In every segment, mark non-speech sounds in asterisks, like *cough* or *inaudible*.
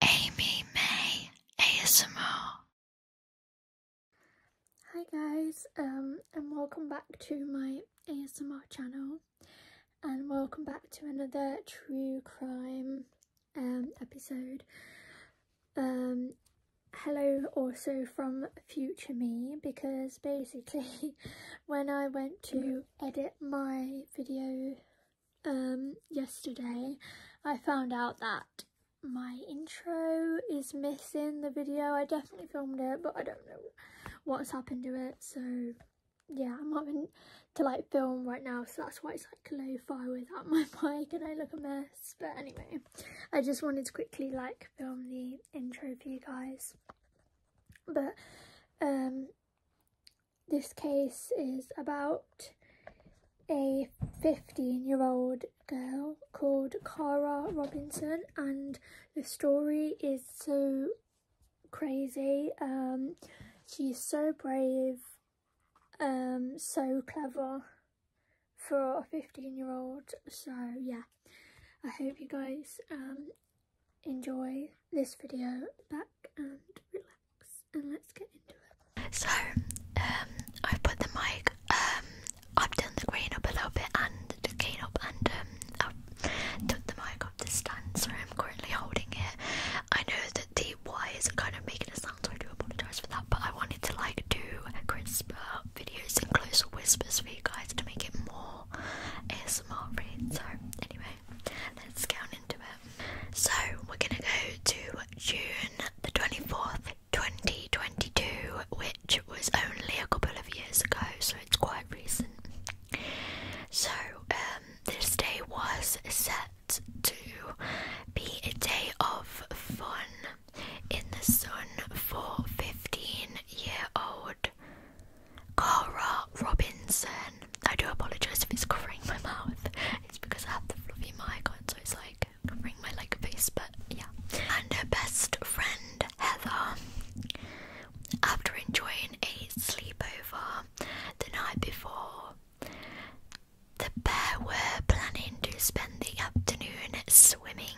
Amy May ASMR. Hi guys, um, and welcome back to my ASMR channel, and welcome back to another true crime um episode. Um, hello also from future me because basically *laughs* when I went to edit my video um, yesterday, I found out that my intro is missing the video. I definitely filmed it, but I don't know what's happened to it. So yeah, I'm having to like film right now. So that's why it's like lo-fi without my *laughs* mic and I look a mess. But anyway, I just wanted to quickly like film the intro for you guys. But um, this case is about a 15 year old girl called Kara Robinson, and the story is so crazy. Um, she's so brave, um, so clever for a 15 year old. So, yeah, I hope you guys um, enjoy this video back and relax. So, um, I put the mic um I've done the green up a little bit and the up and um i the mic off the stand, so I'm currently holding it. I know that the wires are kind of making a sound, so I do apologise for that, but I wanted to like do crisper videos and closer whispers for you guys to make it more ASMR read. So anyway, let's get on into it. So we're gonna go to June the 24th, 2022, which was only a couple of years ago, so it's quite recent. So, um, this day was set to be a day of fun in the sun for 15 year old Cara Robinson. I do apologize if it's covering my mouth. It's because I have the fluffy mic on, so it's like covering my like face. But yeah. And her best friend Heather, after enjoying a sleepover the night before, the pair were planning to spend the afternoon swimming.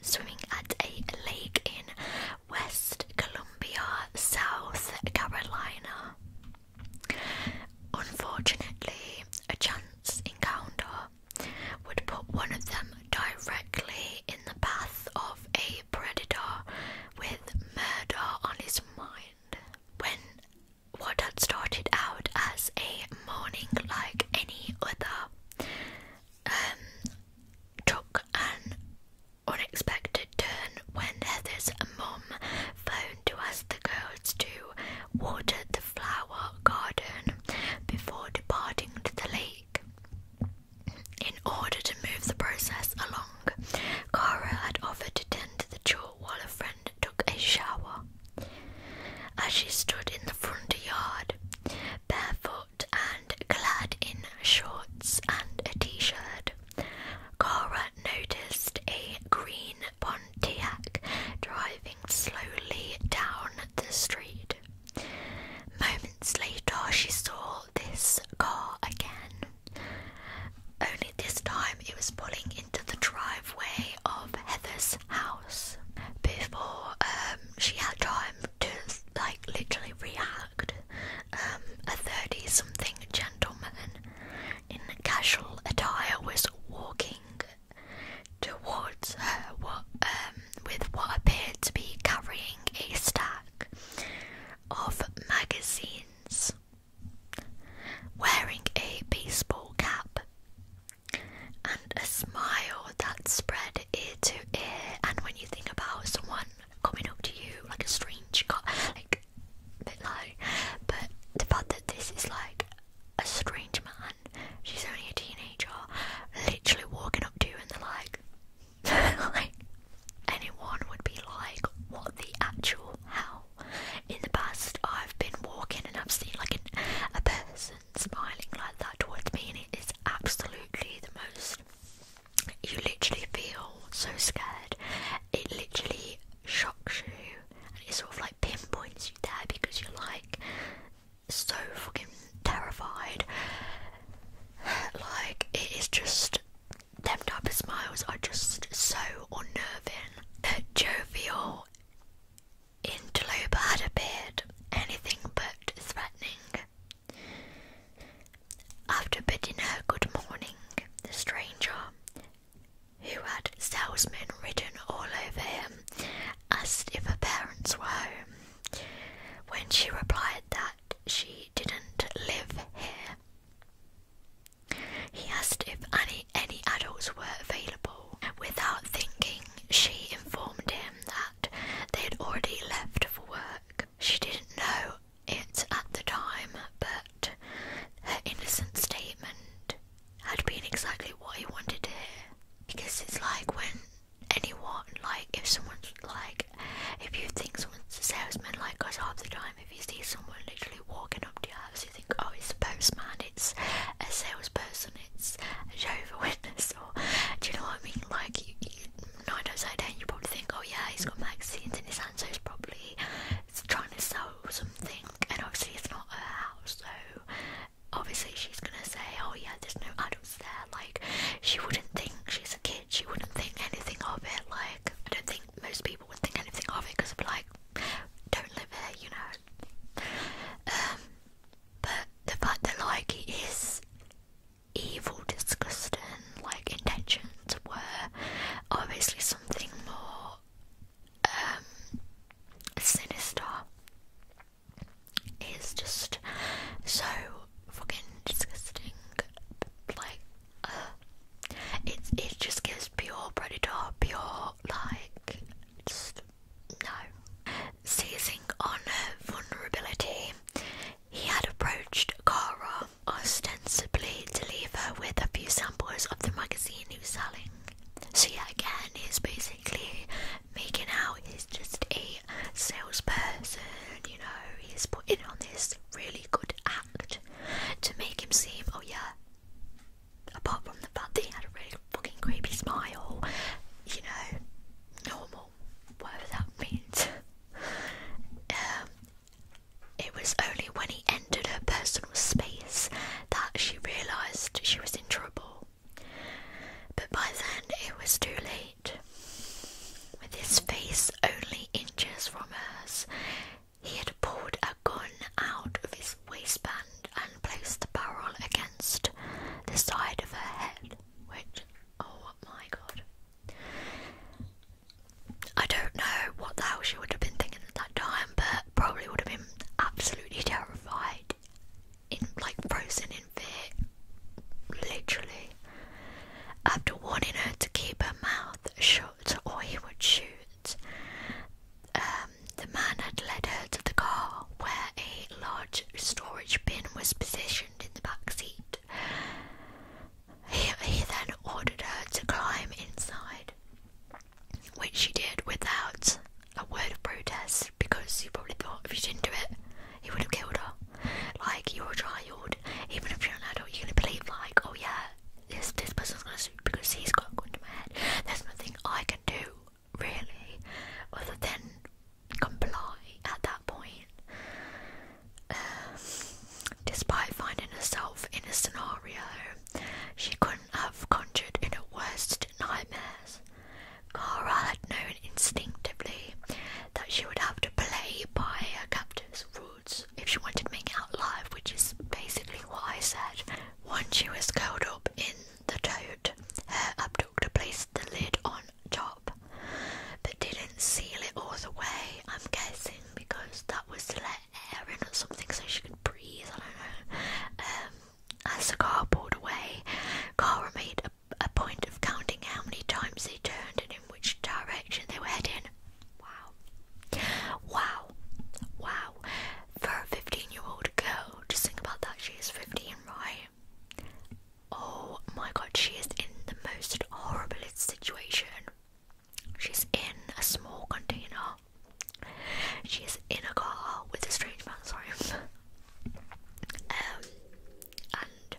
Swimming at a lake in West Columbia, South Carolina. Unfortunately, a chance encounter would put one of them directly in the path of a predator with murder on his mind. When what had started out as a morning like any other um, took an unexpected turn when Heather's mom phoned to ask the girls to water the flower garden before departing to the lake. In order to move the process along, Kara had offered to tend to the chore while a friend took a shower. As she stood in the front yard, barefoot and clad in shorts and a t shirt, Kara noticed a green pond driving slowly down the street. Moments later, she saw this car again. Only this time it was pulling into the driveway of Heather's house. Before um, she had time to like literally react, um, a thirty-something gentleman in casual attire was walking towards her um, with what appeared to be carrying a stack of magazines, wearing a baseball cap, and a smile that spread ear to ear. And when you think about someone coming up to you, like a strange, like a bit But the fact that this is like a strange man, she's only a teenager, literally walking up to you and the *laughs* like, anyone would be like, what the actual hell? In the past, I've been walking and I've seen like a person smiling like that towards me, and it is absolutely the most. You literally feel so scared. It literally shocks you it sort of like pinpoints you there because you're like so fucking terrified. Like it is just them type of smiles are just so unnerving. Uh, Jovial interloper had appeared, anything but threatening. After bidding her good morning, the stranger who had salesman written all over him, asked if her parents were home. When she replied that she didn't live here, he asked if any, any adults were available. Without thinking, she informed him that they had already left for work. She didn't know it at the time, but her innocent statement had been exactly what he wanted to hear. Because it's like when anyone, like if someone's like, if you think someone's a salesman, like us half the time, if you see someone literally walking up to your house, you think, oh, it's a postman, it's a salesperson, it's a Jehovah *laughs* Witness, or do you know what I mean? Like, you, you, nine times out of ten, you probably think, oh yeah, he's got magazines in his hand, so he's probably trying to sell something, and obviously it's not her house, so obviously she's gonna say, "Oh yeah, there's no adults there." Like she wouldn't think she's a kid. She wouldn't think anything of it. Like I don't think most people would think anything of it because of like, "Don't live here," you know. Um, but the fact that like it is evil, disgusting, like intentions were obviously something more um, sinister is just so fucking disgusting. Like, uh, it it just gets pure predator, pure like just no. Seizing on her vulnerability, he had approached Cara ostensibly to leave her with a few samples of the magazine he was selling. So yeah, again, he's basically making out he's just a salesperson. You know, he's putting on this really good act to make him seem, oh yeah. Apart from the fact that he had a really fucking creepy smile, you know, normal, whatever that means. um, it was only when he entered her personal space that she realised she was in trouble. But by then it was too late. With his face only inches from hers, he had pulled a gun out of his waistband and placed the barrel against the side of her head, which, oh my god. I don't know what the hell she would have been thinking at that time, but probably would have been absolutely terrified, in like frozen in fear, literally. After warning her to keep her mouth shut or he would shoot, um, the man had led her to the car where a large storage bin was positioned in the back seat. he then ordered her to climb inside which she did without a word of protest because she probably thought if she didn't do it, he would have killed her. Like, you're a child, even if you're an adult, you're gonna believe, like, oh yeah, this, this person's gonna sue because he's got a gun my head. There's nothing I can do, really, other than comply at that point. Um, despite finding herself in a scenario she couldn't have conjured in her worst nightmares. Cora had known instinctively that she would have to play by her captor's rules if she wanted to make it out alive, which is basically what I said. Once she was curled up in the toad, her abductor placed the lid on top, but didn't seal it all the way, I'm guessing, because that was to let air in or something so she could breathe, I don't know. Um, as the car pulled away, Cara made a, a point of counting how many times they turned and in which direction they were heading. Wow. Wow. Wow. For a 15 year old girl, just think about that. She is 15, right? Oh my god, she is in the most horrible situation. She's in a small container she is in a car with a strange man, sorry. um, and,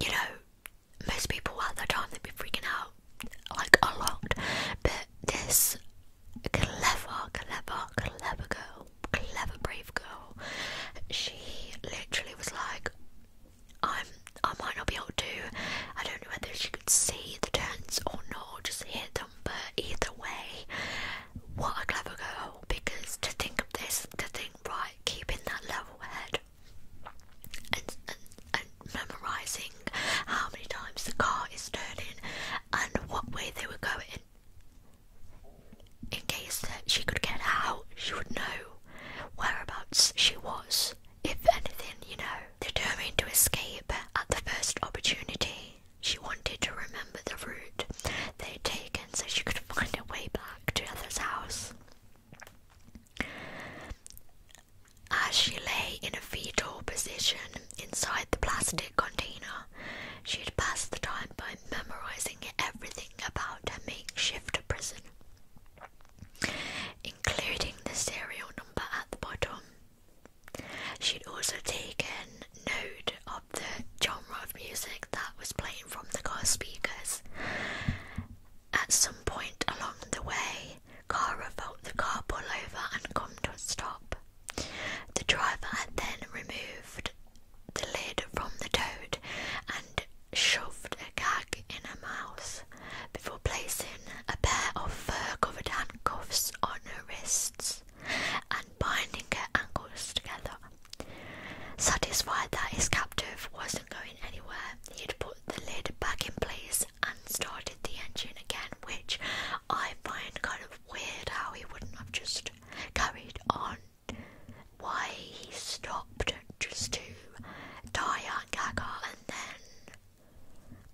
you know, most people at that time they'd be freaking out like a lot, but this clever, clever, clever girl, clever, brave girl, she literally was like, I'm, I might not be able to. I don't know whether she could see the turns or not, just hear but either way, what a clever girl because to think of this, to think right, keeping that level head and, and memorising how many times the car is turning and what way they were going. In case that she could get out, she would know whereabouts she was. If anything, you know, determined to escape at the first opportunity, she wanted to remember the route they'd taken so she could find her way back to Heather's house. As she lay in a fetal position inside the plastic container, she had passed the time by memorizing everything about her makeshift prison, including the serial number at the bottom, She'd also taken note of the genre of music that was playing from the car speakers. At some point along the way, Kara felt the car pull over and come to a stop. The driver had then removed the lid from the toad and shoved a gag in her mouth before placing a pair of fur covered handcuffs on her wrists and binding her ankles together. Satisfied that his captive wasn't going anywhere, he would put the lid back in place and started the engine again, which I find kind of weird how he wouldn't have just carried on. Why he stopped just to tie up gaga and then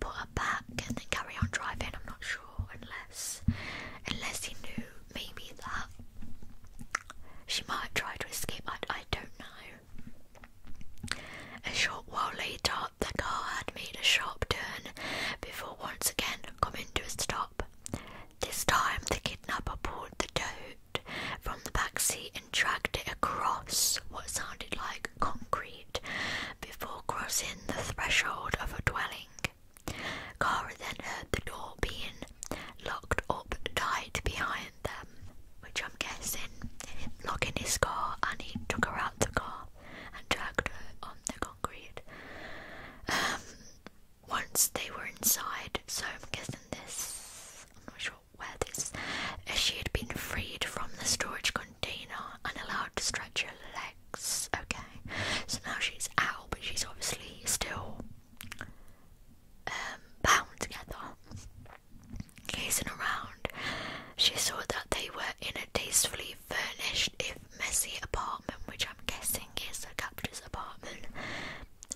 put her back and then carry on driving. I'm not sure unless unless he knew maybe that she might try to escape. I, I don't know. A short while later, the car had made a sharp turn before once again coming to a stop. This time, the kidnapper pulled the toad from the back seat and dragged it across what sounded like concrete before crossing the threshold of a dwelling. Kara then heard the door being locked up tight behind them, which I'm guessing locking his car and he took her out the car and dragged her on the concrete. Um, once they were inside, so I'm guessing this, I'm not sure where this, uh, she had been freed from the storage container Dana allowed to stretch her legs. Okay, so now she's out, but she's obviously still um, bound together. Gazing around, she saw that they were in a tastefully furnished, if messy, apartment, which I'm guessing is the captor's apartment.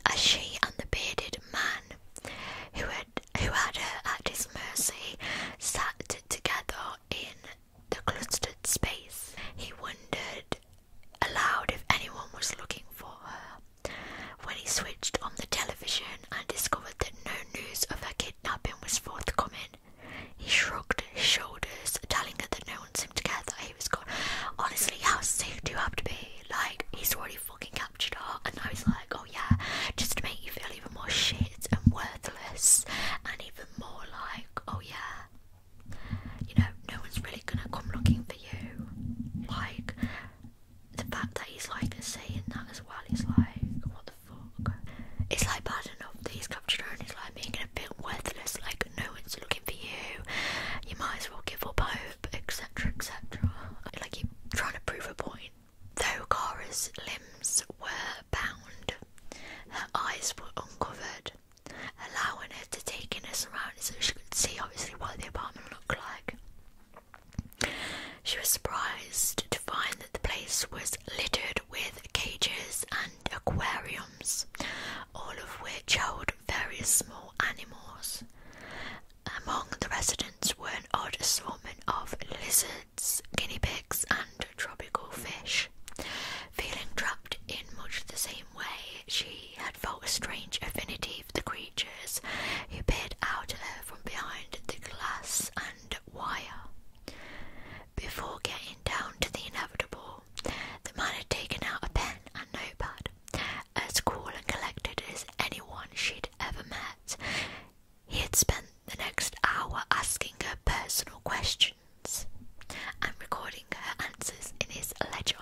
As she and the bearded man, who had who had her at his mercy, sat together in the clustered space. He wondered aloud if anyone was looking for her. When he switched on the television and discovered that no news of her kidnapping was forthcoming, he shrugged his shoulders, telling her that no one seemed to care that he was gone. Honestly, how sick do you have to be? Like, he's already fucking captured her, and I was like, oh yeah, just to make you feel even more shit and worthless and even more like, oh yeah, you know, no one's really gonna come looking for you. Like, the fact that he's like saying that as well He's like, what the fuck? It's like bad enough that he's captured her and he's like making a bit worthless, like, no one's looking for you, you might as well give up hope, etc. etc. Like, you're trying to prove a point. Though Kara's limbs were her eyes were uncovered, allowing her to take in her surroundings so she could see obviously what the apartment looked like. She was surprised to find that the place was littered with cages and aquariums, all of which held various small animals. Among the residents were an odd assortment of lizards, guinea pigs, and tropical fish. Feeling trapped in much the same way, she had felt a strange affinity for the creatures who peered out at her from behind the glass and wire. Before getting down to the inevitable, the man had taken out a pen and notepad, as cool and collected as anyone she'd ever met. He had spent the next hour asking her personal questions and recording her answers in his ledger,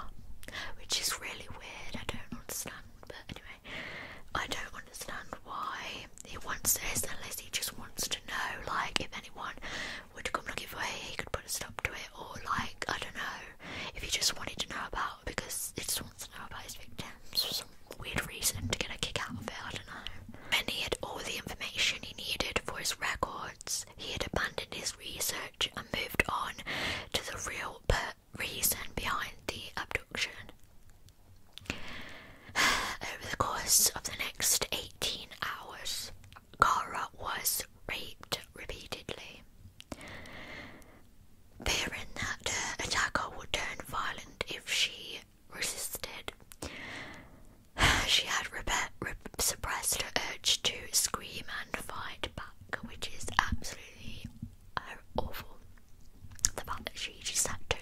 which is really weird. I don't understand, but anyway, I don't understand why he wants this unless he just wants to know, like, if anyone would come looking for him, he could put a stop to it, or like, I don't know, if he just wanted to know about because he just wants to know about his victims for some weird reason to get a kick out of it. I don't know. And he had all the information he needed for his record he had abandoned his research and moved on to the real reason behind the abduction. *sighs* Over the course of the next 18 hours, Kara was raped repeatedly. Fearing that the attacker would turn violent if she resisted, *sighs* she had re suppressed her urge to scream and fight back, which is absolutely uh, awful. The fact that she just had to,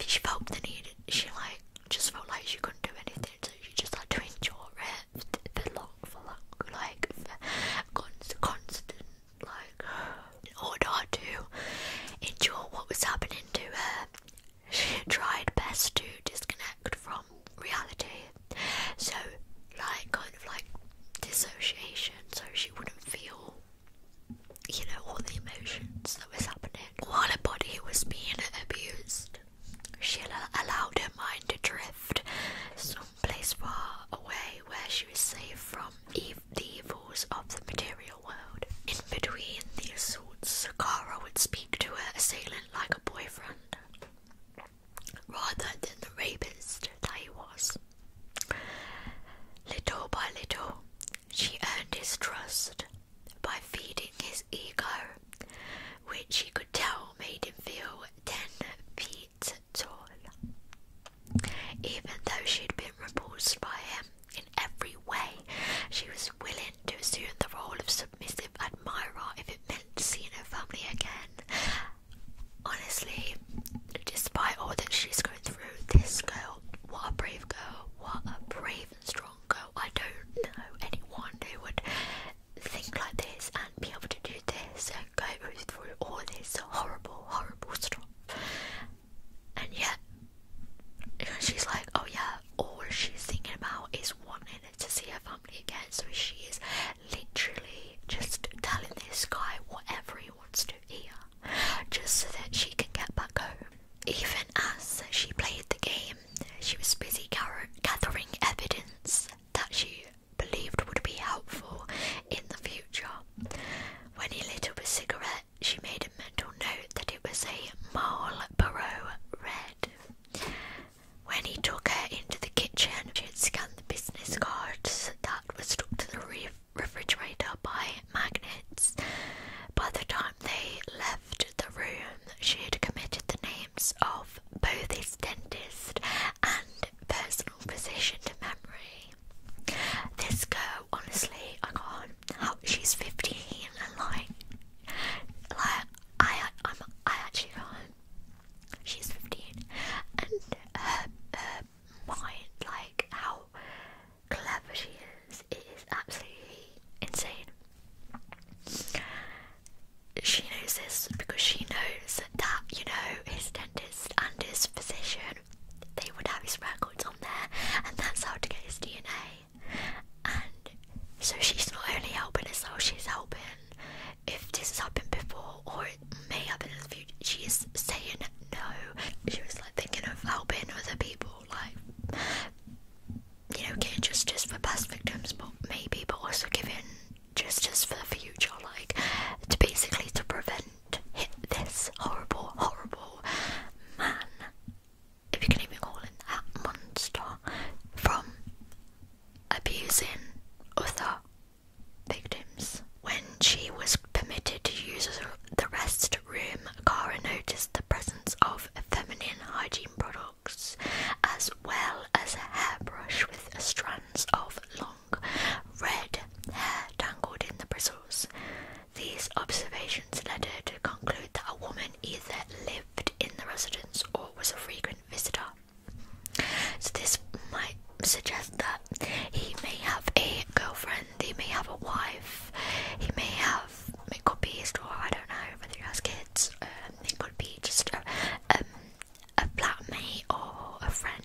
she felt the need, she like just felt like she couldn't do anything, so she just had to endure it for long, long, like for constant, like *sighs* order to endure what was happening to her she tried best to disconnect from reality. So, like, kind of like dissociation, so she wouldn't feel, you know, all the emotions that was happening. While her body was being abused, she allowed her mind to drift someplace far away where she was safe from the evils of the material world. In between the assaults, Sakara would speak to her assailant like a boyfriend rather than the rapist that he was. Little by little, she earned his trust by feeding his ego, which he could tell made him feel ten feet tall. Even though she'd been repulsed by him in every way, she was willing to assume the role of submissive admirer if it meant seeing her family again. Honestly, despite all that she's going through, this girl, what a brave girl, what a brave and strong girl. I don't know anyone who would think like this and be able to do this and go through all this horrible, horrible stuff. And yet, she's like, oh yeah, all she's thinking about is wanting to see her family again. So she is literally just telling this guy whatever he wants to hear, just so that she can get back home. Even as she played the game, she was busy gathering evidence that she believed would be helpful in the future. When he lit up a cigarette, she made a mental note that it was a Marlboro Red. When he took her into the kitchen, she had scanned the business cards that were stuck to the refrigerator by magnets. By the time they left the room, she had committed the names of both his dentist and personal physician to memory. This girl, honestly, I can't. How she's 15 and like like I, I'm, I actually know She's fifteen, and her, her mind, like how clever she is, is absolutely insane. She knows this because she knows that you know his dentist and his physician. They would have his records on there, and that's how to get his DNA and so she's not only helping us herself, she's helping. If this has happened before or it may happen in the future, She's saying no. She was like thinking of helping other people, like you know, getting justice for past victims, but maybe, but also giving justice for the future, like to basically to prevent this horrible, horrible man if you can even call it that, monster from abusing other victims. When she was permitted to use the rest room, Kara noticed the presence of feminine hygiene products as well as a hairbrush with strands of long red hair tangled in the bristles. These observations led her to conclude that a woman either lived in the residence or was a frequent visitor. So this might suggest that he may have a girlfriend, he may have a wife, he may have it could be his I don't know whether he has kids, um, it could be just a um, flatmate or a friend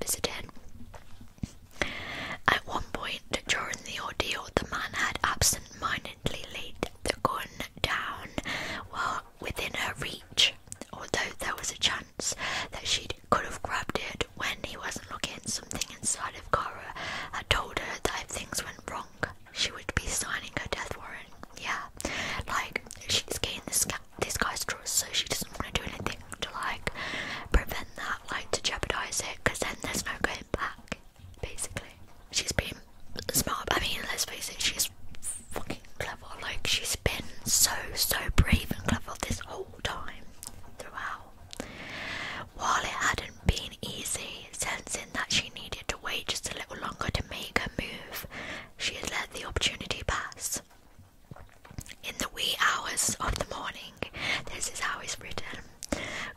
visiting. At one point during the ordeal, the man had absent-mindedly laid the gun down well within her reach, although there was a chance that she could have grabbed it when he wasn't looking. Something inside of Kara had told her that if things went wrong, she would be signing her death warrant. Yeah, like she's gained this this guy's trust, so she doesn't want to do anything to like prevent that, like to jeopardize it, because then there's no going back basically. She's been smart. I mean, let's face it, she's fucking clever. Like, she's been so, so brave and clever this whole time throughout. While it hadn't been easy, sensing that she needed to wait just a little longer to make her move, she had let the opportunity pass. In the wee hours of the morning, this is how it's written,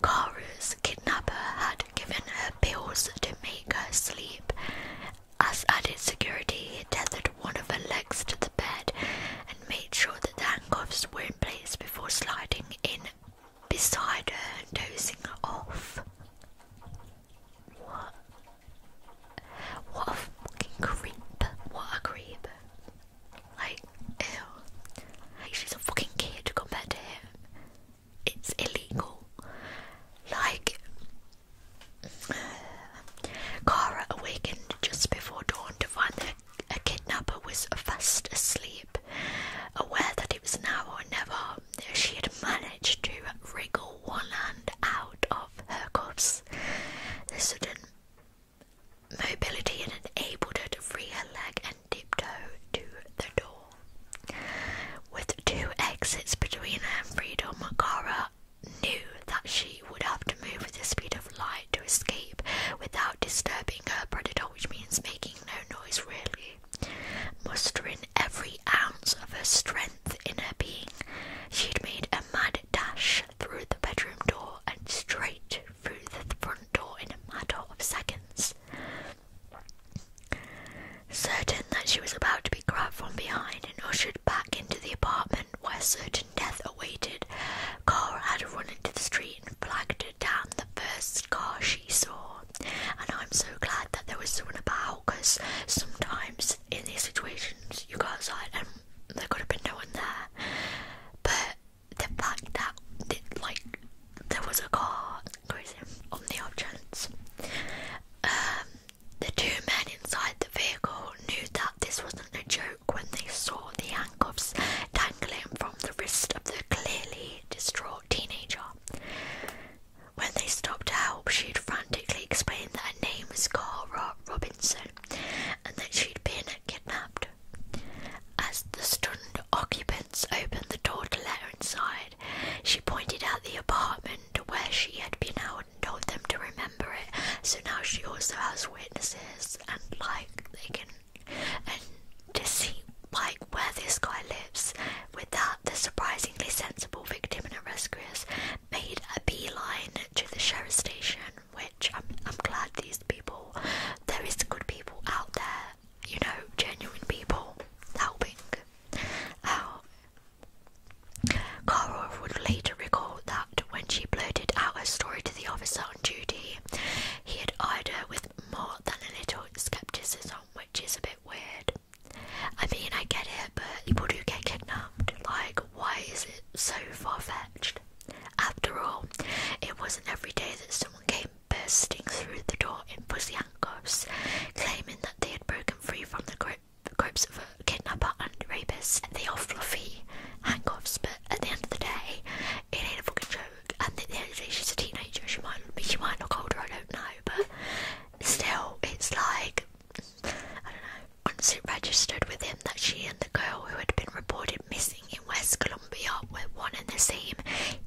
Kara's kidnapper had had given her pills to make her sleep. As added security, he tethered one of her legs to the bed and made sure that the handcuffs were in place before sliding in beside her and dozing her off. What? What a fucking creep. What a creep. Like, ew. she's a fucking kid compared to him it's illegal. Like, Kara awakened just before dawn to find that a kidnapper was fast asleep. Aware that it was now or never, she had managed to wriggle one hand out of her cuffs. The sudden mobility had enabled her to free her leg and tiptoe to the door. With two exits between her and freedom, Kara knew that she would have to move with the speed of light to escape without disturbing her predator, which means making no noise really. Mustering every ounce of her strength in her being, she'd made a mad dash through the bedroom door and straight through the front door in a matter of seconds. Certain that she was about to be grabbed from behind and ushered back into the apartment where certain death awaited, Cora had run into the street and flagged her down the first car she saw. And I'm so glad that there was someone about because sometimes in these situations you go outside and there could have been no one there. But the fact that like there was a car cruising on the outskirts. Um, the two men inside the vehicle knew that this wasn't a joke when they saw the handcuffs dangling from the wrist of the clearly distraught teenager. When they stopped to help, she'd frantically explained that her name was Cara Robinson and that she'd been kidnapped. As the stunned occupants opened the door to let her inside, she pointed out the apartment where she had been out and told them to remember it. So now she also has witnesses and like they can and to see like where this guy lives. With that, the surprisingly sensible victim and rescuers made a beeline to the sheriff's station. Which I'm, I'm glad these people, there is good people out there, you know, genuine people helping out. Carl would later recall that when she blurted out her story to the officer on duty, he had eyed her with more than a little skepticism, which is a bit weird. I mean, I get it, but people do get kidnapped. Like, why is it so far fetched? After all, it wasn't every day that someone came bursting through the door in pussy claiming that they had broken free from the grip, grips of a kidnapper and rapist. They are fluffy handcuffs, but at the end of the day, it ain't a fucking joke. And at the end of the day, she's a teenager. She might, she might not hold I don't know, but still, it's like I don't know. Once it registered with him that she and the girl who had been reported missing in West Columbia were one and the same,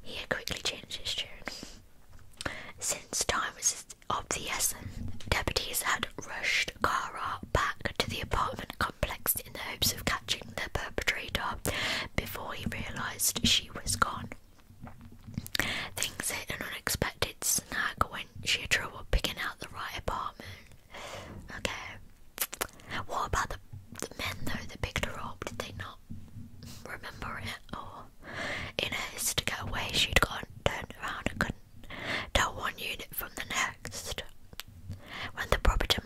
he had quickly changed his tune. Since time was of deputies had rushed Kara back to the apartment complex in the hopes of catching the perpetrator before he realised she was gone. Things hit an unexpected snag when she had trouble picking out the right apartment. Okay. What about the, the men though that picked her Did they not remember it in a to get away, she had gone, turned around and couldn't tell one unit from the next. When the property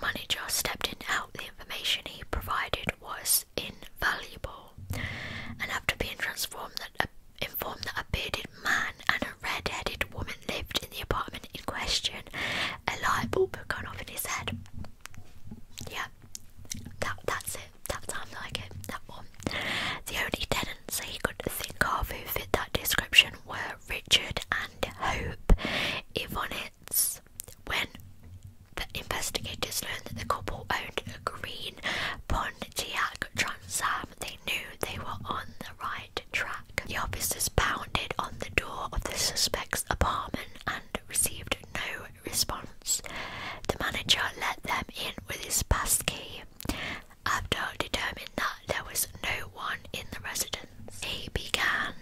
manager stepped in out, the information he provided was invaluable, and after being transformed uh, informed that a bearded man and a red-headed woman lived in the apartment in question, a light bulb had gone off in his head. Yeah, that that's it. That time that I get that one. The only tenants he could think of who fit that description were Richard and Hope Ivonitz. When the investigators learned that the couple owned a green Pontiac Trans Am, they knew they were on the right track. The officers pounded on the door of the suspect's apartment and received no response. The manager let them in with his pass key. After determining that there was no one in the residence. He began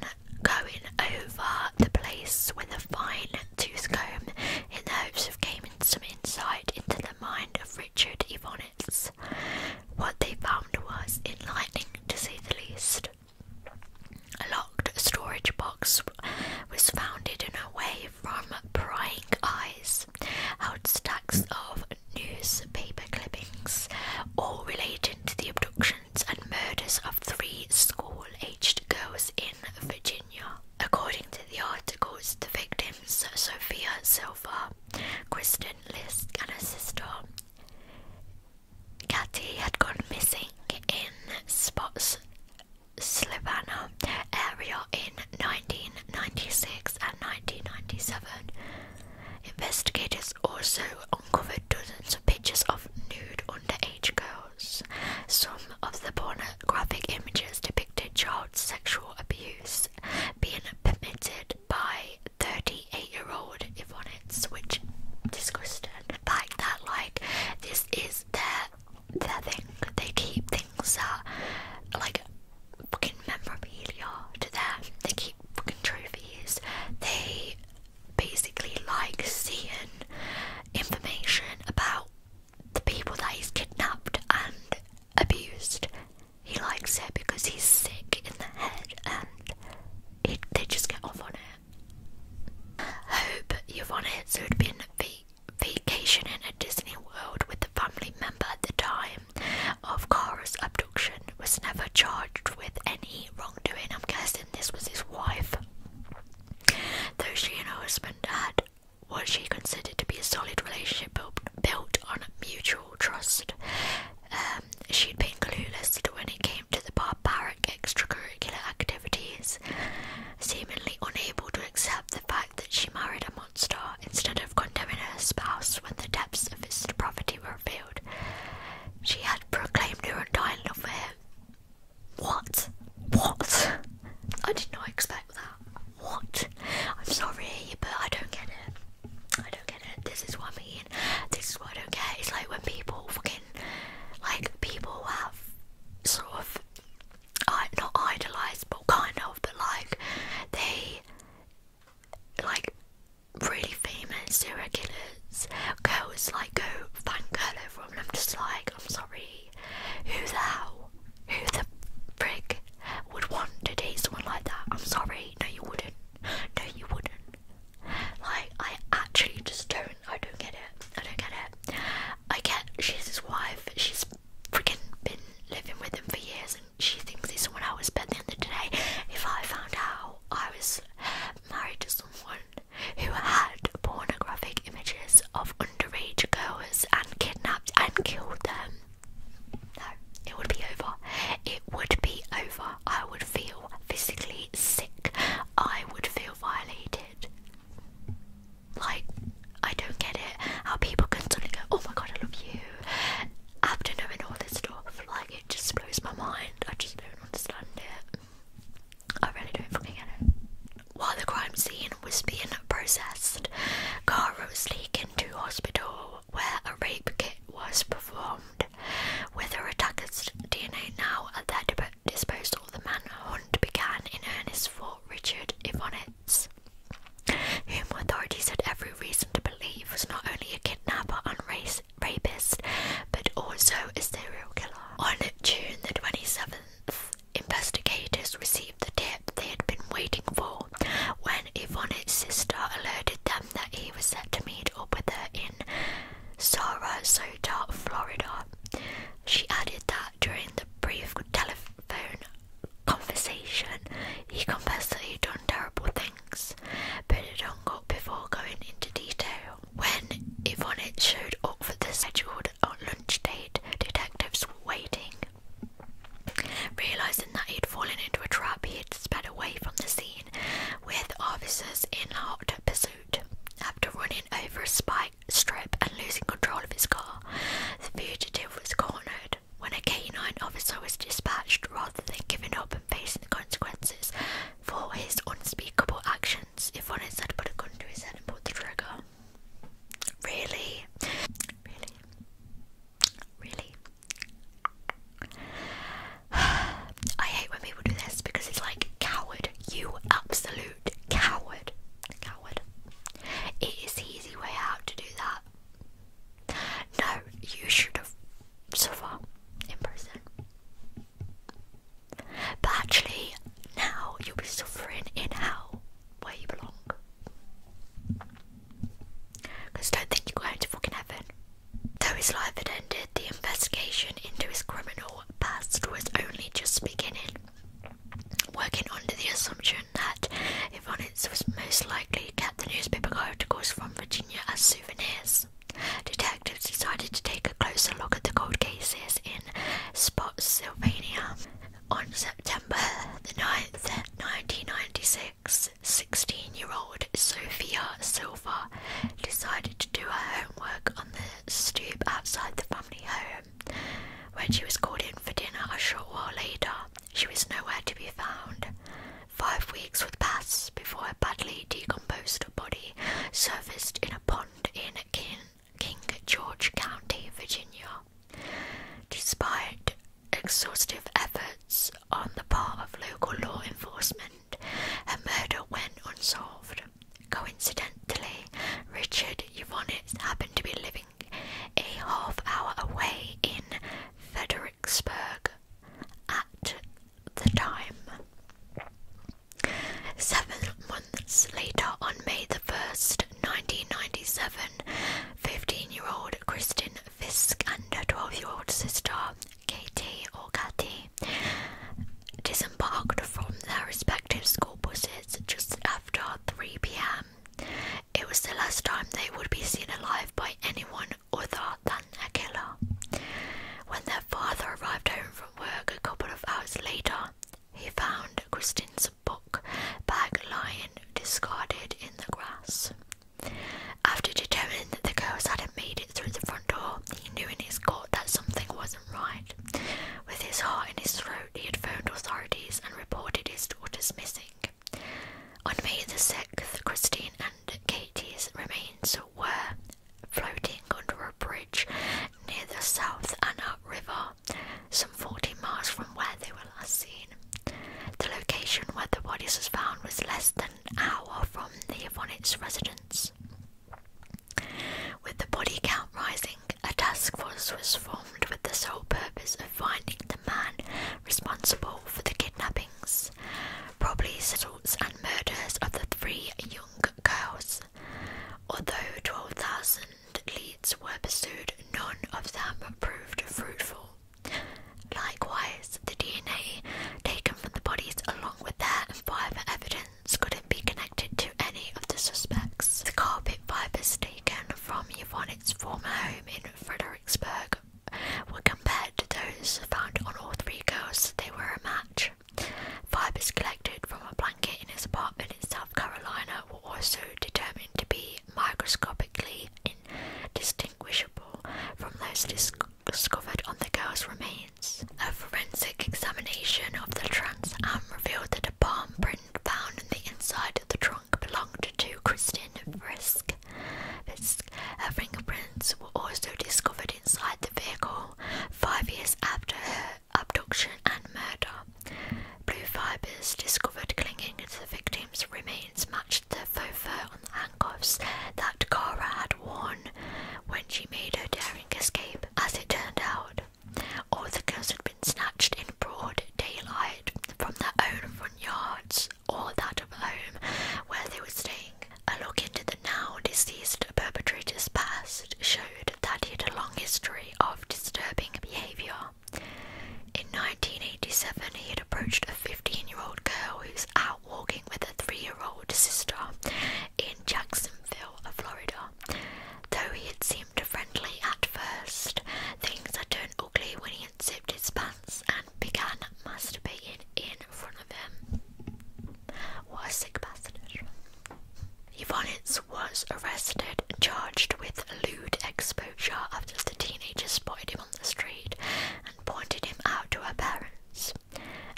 going over the place with a fine tooth comb in the hopes of gaining some insight into the mind of Richard Evonitz. What they found was enlightening to say the least. A locked storage box was found in a way from prying eyes, held stacks of newspaper clippings, all relating to the abductions and murders of three school-aged girls in Virginia. According to the articles, the victims, Sophia Silva, Kristen Lisk, and her sister, Katie, had gone missing in spots Slivana area in 1996 and 1997. Investigators also uncovered dozens of pictures of nude underage girls. Some of the pornographic images depicted child sexual abuse being permitted by 38 year old Yvonnettes, which disgusting. The that, like, this is the their thing. They keep things that like fucking memorabilia to them. They keep fucking trophies. They basically like seeing information about the people that he's kidnapped and abused. He likes it because he's sick in the head and it, they just get off on it. Hope you've on it, so it'd been the Vacation in a Disney World with a family member at the time of Kara's abduction was never charged with any wrongdoing. I'm guessing this was his wife. Though she and her husband had what she considered to be a solid relationship built on mutual trust, um, she'd been clueless when it came to the barbaric extracurricular activities seemingly unable to accept the fact that she married a monster instead of condemning her spouse when the depths of his depravity were revealed. She had proclaimed her undying love for him. What? What? I did not expect that. What? I'm sorry, but I don't get it. I don't get it. This is what I mean. This is what I don't get. It's like when people fucking, like, people have sort of I not idolized, but kind of, but like they like really famous serial killers girls like go fangirl over them I'm just like, I'm sorry, who the hell, who the frick would want to date someone like that? I'm sorry, no you wouldn't, no you wouldn't. Like I actually just don't, I don't get it, I don't get it. I get she's his wife, she's freaking been living with him for years and she thinks he's someone I was. But the end day, if I found out I was married to someone who had pornographic images of underage girls and kidnapped and killed them, no, it would be over. It would be over. I would feel physically sick. I would feel violated. Like, I don't get it how people can suddenly go, oh my god, I love you after knowing all this stuff. Like, it just blows my mind. I just don't understand it. I really don't fucking get it. While the crime scene was being processed, Caro was taken to hospital where a rape kit was performed. With the attacker's DNA now at their disposal, the manhunt began in earnest for Richard Ivonitz whom authorities had every reason to believe was not only a kidnapper and rapist, but also a serial killer. On June the 27th, investigators received the tip they had been waiting for when Yvonne's sister alerted them that he was set to meet up with her in Sarasota, Florida. She added that during the brief telephone conversation, he confessed that he'd done terrible things, but it hung up before going into detail. When Yvonne showed up for the scheduled lunch date, detectives were waiting. Realising that he'd fallen into a trap, he had sped away from the scene with officers in hot pursuit. After running over a spike strip and losing control of his car, the fugitive was cornered. When a canine officer was dispatched, rather than giving up and facing the consequences for his unspeakable actions, if one had put a gun to his head and pulled the trigger. Really? Really? Really? *sighs* I hate when people do this because it's like, coward, you absolute coward. Coward. It is the easy way out to do that. No, you should have so in prison. But actually, now you'll be suffering in hell where you belong. don't think you're going to fucking heaven. Though his life had ended, the investigation into his criminal past was only just beginning working under the assumption that Ivonitz was most likely kept the newspaper articles from Virginia as souvenirs. Detectives decided to take a closer look at the cold cases in Spotsylvania. On September the 9th, 1996, 16-year-old Sophia Silva decided to do her homework on the stoop outside the family home. When she was called in for dinner a short while later, she was nowhere to be found. Five weeks would pass before a badly decomposed body surfaced in a pond in King, George County, Virginia. Despite exhaustive efforts on the part of local law enforcement, her murder went unsolved. Coincidentally, Richard Yvonnet happened to be living a half hour away in Fredericksburg at the time. Seven months later, on May the 1st, 1997, 15 year old Kristen Fisk and her 12 year old sister, Katie or Kathy, disembarked from their respective school buses just after 3 pm. It was the last time they would be seen alive by anyone other than a killer. When their father arrived home from work a couple of hours later, he found Kristin's book bag lying discarded in the grass. After determining that the girls hadn't made it through the front door, he knew in his gut that something wasn't right. With his heart in his throat, he had phoned authorities and reported his daughter's missing. On May the 6th, Christine and Katie's remains were floating under a bridge near the South Anna River, some 40 miles from where they were last seen. The location where the bodies was found was less than an hour from the Yvonnitz residence. With the body count rising, a task force was formed with the sole purpose of finding the man responsible for the kidnappings, probably assaults, and murders of the three young girls. Although 12,000 leads were pursued, none of them proved fruitful. Likewise, the DNA taken from the bodies, along with their fibre evidence, couldn't be connected to any of the suspects. The carpet fibres taken from Yvonnette's former home in Fredericksburg were compared to those found on all three girls, they were a match. Fibers collected from a blanket in his apartment in South Carolina were also determined to be microscopically indistinguishable from those discovered on the girl's remains. A forensic examination of the trunk arm revealed that a palm print found in the inside of the trunk belonged to Christian Frisk. Her fingerprints were also discovered inside the vehicle five years after her abduction and murder. Blue fibres discovered clinging to the victim's remains matched the faux fur on the handcuffs that Kara had worn when she made her daring escape. As it turned out, all the girls had been snatched in broad daylight from their own front yards or that of home where they were staying. A look into the now deceased perpetrator's past showed that he had a long history of disturbing behaviour. In 1987, he had approached a 15 year old girl who was out walking with a three year old sister in Jacksonville, Florida. Though he had seemed friendly at first, things had turned ugly when he Gideon his pants and began masturbating in front of him. What a sick bastard. Yvonitz was arrested, and charged with lewd exposure after the teenager spotted him on the street and pointed him out to her parents.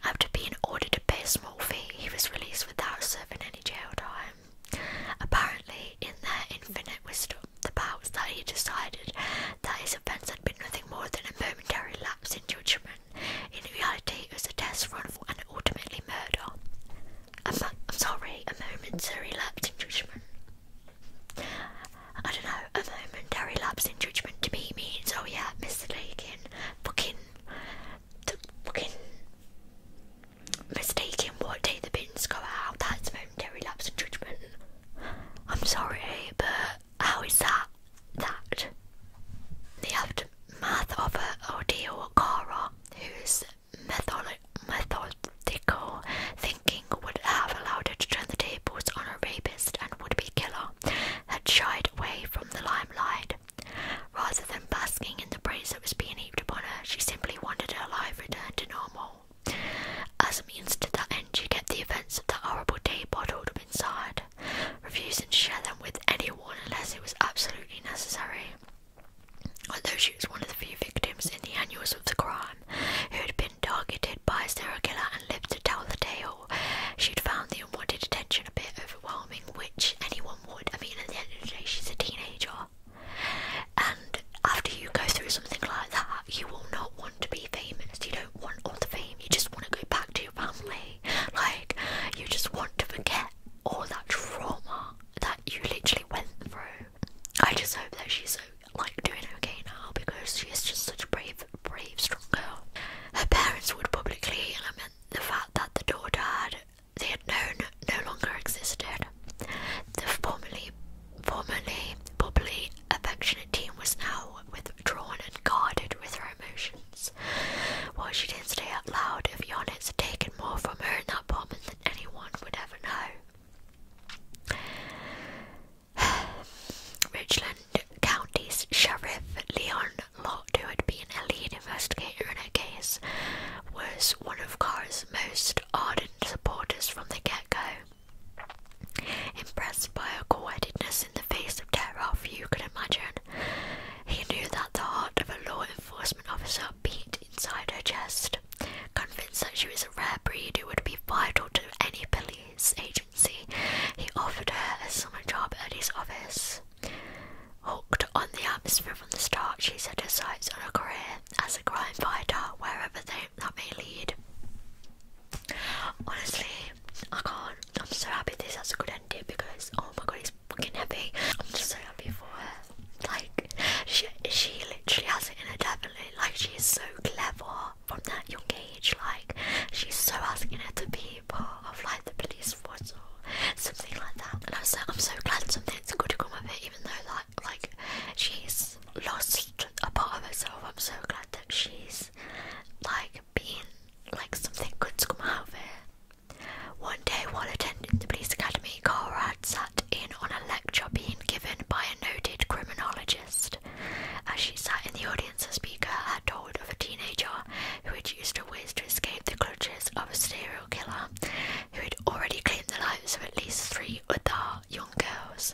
After being ordered to pay a small fee, he was released without serving any jail time. Apparently, in their infinite wisdom, the powers that he decided that his offence had been nothing more than a momentary lapse in judgment. In reality, it was a test run for an ultimately murder. I'm, sorry, a momentary lapse in judgment. I don't know, a momentary lapse in judgment to me means, oh yeah, mistaken, fucking, the fucking, mistaken what day the bins go out, that's momentary lapse in judgment. I'm sorry, but how is that that? The aftermath of an ordeal, Kara, whose methodical thinking would have allowed her to turn the tables on a rapist and would-be killer, had shied away from the limelight. Rather than basking in the praise that was being heaped upon her, she simply wanted her life returned to normal. As a means to that end, she kept the events of that horrible day bottled up inside, refusing to share them with anyone unless it was absolutely necessary. Although she was one of the few victims in the annals of the crime who had been targeted by a serial killer and lived to tell the tale, she'd found the unwanted attention a bit overwhelming, which anyone would. I mean, at the end of the day, she's a teenager. And after you go through something like that, you will not want to be famous. You don't want all the fame. You just want to go back to your family. Like you just want to forget all that trauma that you literally went through. I just hope that she's like doing okay now because she is just such a brave, brave, strong girl. Her parents would publicly lament the fact that the daughter had they had known no longer existed. The formerly formerly bubbly, affectionate teen was now withdrawn and guarded with her emotions. While she didn't say out loud, if Yonitz had taken more from her in that moment than anyone would ever know. *sighs* Richland County's Sheriff Leon Lott, who had been a lead investigator in her case, was one of Cara's most ardent supporters from the get go. Impressed by her cool-headedness in the face of terror few could imagine, he knew that the heart of a law enforcement officer beat inside her chest, convinced that she was a rare breed who would be vital to any police agency. He offered her a summer job at his office. Hooked on the atmosphere from the start, she set her sights on a career as a crime fighter wherever they that may lead. Honestly, I can't. I'm so happy this has a good ending because oh my god, it's fucking happy. I'm just so happy for her. Like she, she literally has it in her definitely. Like she is so clever from that young age. Like she's so asking her to be part of like the police force or something like that. And I'm so I'm so glad something's good to come of it, even though like like she's lost a part of herself. I'm so glad that she's like being like something good's come out of it. One day, while attending the police academy, Cara had sat in on a lecture being given by a noted criminologist. As she sat in the audience, the speaker had told of a teenager who had used her ways to escape the clutches of a serial killer who had already claimed the lives of at least three other young girls.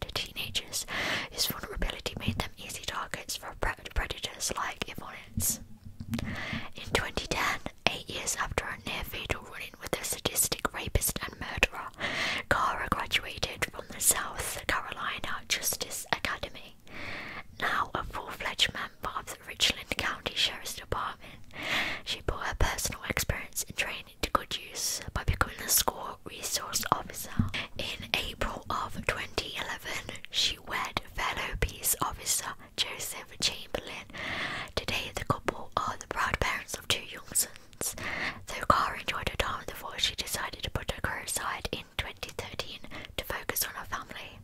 to teenagers, whose vulnerability made them easy targets for predators like Yvonnette's. In 2010, eight years after a near fatal run in with a sadistic rapist and murderer, Kara graduated from the South Carolina Justice Academy. Now a full fledged member of the Richland County Sheriff's Department, she brought her personal experience in training into good use by becoming a school resource officer. In April of 2011, she wed fellow peace officer Joseph Chamberlain. Today, the couple are the proud parents of two young sons. Though Carr enjoyed a time in the force, she decided to put her career aside in 2013 to focus on her family.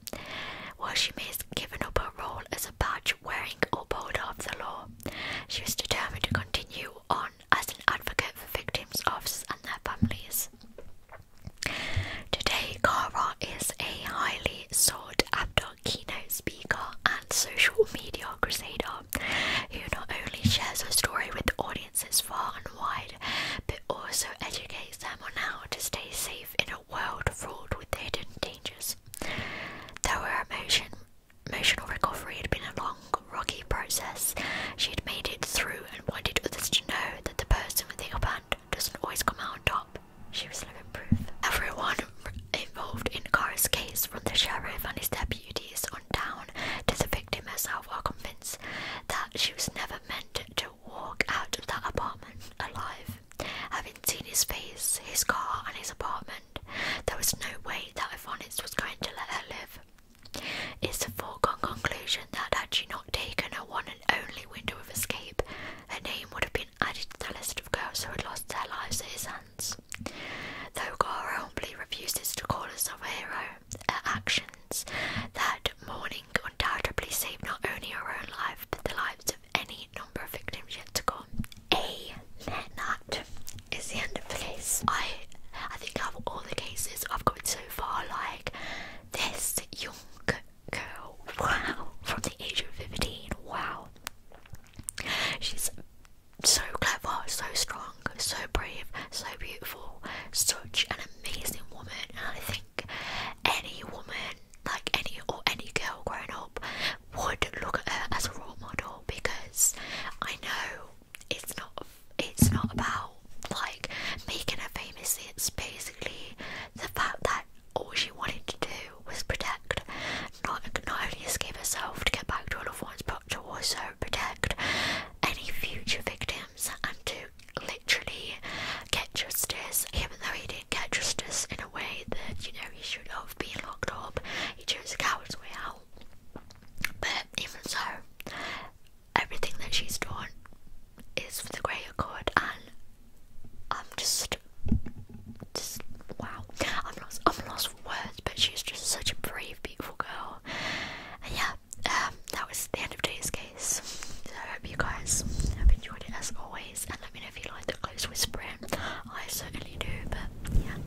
While she may have given up her role as a badge wearing upholder of the law, she was determined to continue on as an advocate for victims, officers, and their families. Today, Kara is a highly sought after keynote speaker and social media crusader who not only shares her story with audiences far and wide but also educates them on how to stay safe in a world fraught with hidden dangers. Though her emotion, emotional recovery had been a long rocky process. She had made it through and wanted others to know that the person with the upper hand doesn't always come out on top. She was living proof. Everyone involved in Kara's case, from the sheriff and his deputies on down to the victim herself, are convinced that she was never meant to walk out of that apartment alive. Having seen his face, his car, and his apartment, there was no way that Ivonitz was going to let her live. It's a foregone conclusion that had she not taken her one and only window of escape, her name would have been added to the list of girls who had lost their lives at his hands. Though Cora humbly refuses to call herself a hero, her actions that morning undoubtedly saved not only her own life, but the lives of any number of victims yet to come. Amen is the end of this. I I think of all the cases I've gone so far, like this young girl, wow, from the age of 15, wow. She's so clever, so strong, so brave, so beautiful, such an amazing woman. And I think any woman, like any or any girl growing up, would look at her as a role model because I know it's not it's not about like making her famous. It's basically the fact that all she wanted to do was protect, not not only escape herself to get back to her friends, but to also protect any future victims and to literally get justice. Even though he didn't get justice in a way that you know he should have been locked up, he chose a coward's way out. But even so, everything that she's drawn is for the greater good, and I'm just, just wow, I'm lost, I'm lost for words. But she's just such a brave, beautiful girl. And yeah, um, that was the end of today's case. I hope you guys have enjoyed it as always, and let me know if you like the close whispering. I certainly do, but yeah.